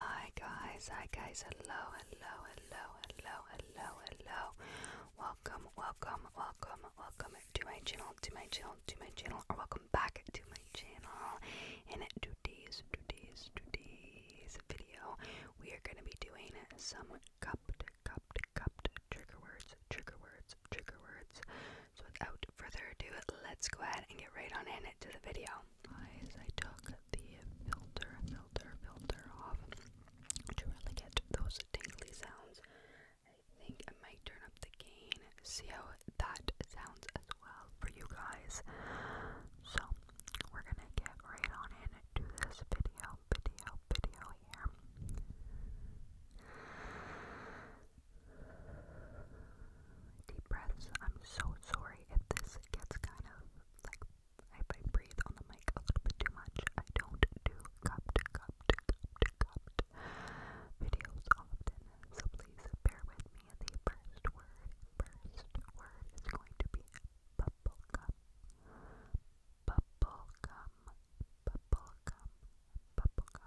Hi guys, hi guys, hello, hello, hello, hello, hello, hello. Welcome, welcome, welcome, welcome to my channel, to my channel, to my channel, or welcome back to my channel. In today's, today's, today's video, we are going to be doing some cupped, cupped, cupped trigger words, trigger words, trigger words. So without further ado, let's go ahead and get right on in to the video eyes. I took the filter, filter, filter off to really get those tingly sounds. I think I might turn up the gain, see how that sounds as well for you guys. So we're gonna get right on into this video, video, video here. Deep breaths. I'm so sorry if this it gets kind of like if I breathe on the mic a little bit too much. I don't do cupped, cupped, cupped, cupped videos often, so please bear with me. The first word, first word is going to be bubblegum, bubblegum, bubblegum, bubblegum, bubblegum.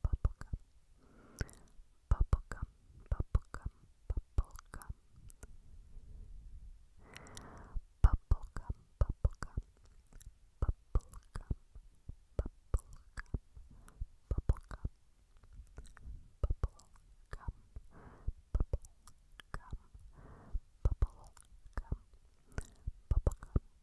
bubblegum, bubblegum, bubblegum, bubblegum, bubblegum, bubblegum, bubblegum, bubblegum, bubblegum, bubblegum, bubblegum, bubblegum, bubblegum,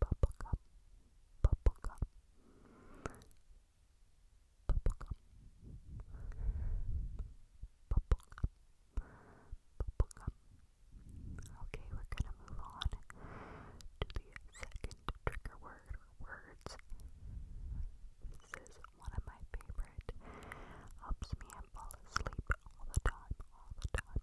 bubblegum, bubblegum, bubblegum, bubblegum, bubblegum. Okay, we're gonna move on to the second trigger word words. This is one of my favorite. Helps me fall asleep all the time, all the time.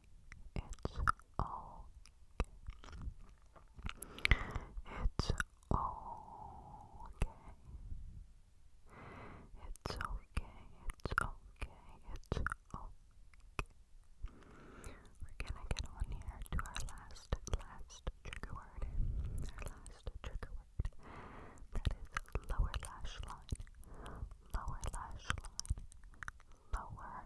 It's okay. It's okay. It's okay. It's okay. It's okay. We're gonna get on here to our last, last trigger word. Our last trigger word. That is lower lash line. Lower lash line. Lower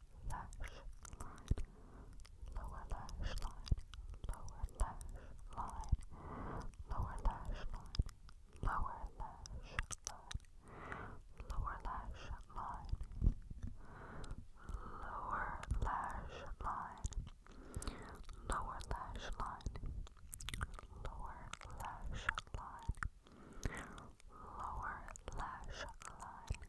lash line, lower lash line, lower lash line, lower lash line, lower lash line, lower lash line, lower lash line, lower lash line, lower lash line. Lower lash line,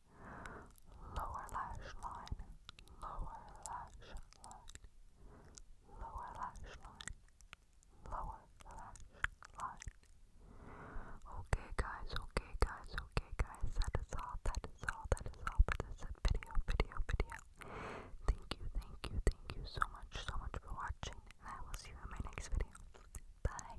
lower lash line, lower lash line, lower lash line, lower lash line. Okay guys, okay guys, okay guys, that is all, that is all, that is all for this video, video, video. Thank you, thank you, thank you so much, so much for watching, I will see you in my next video. Bye.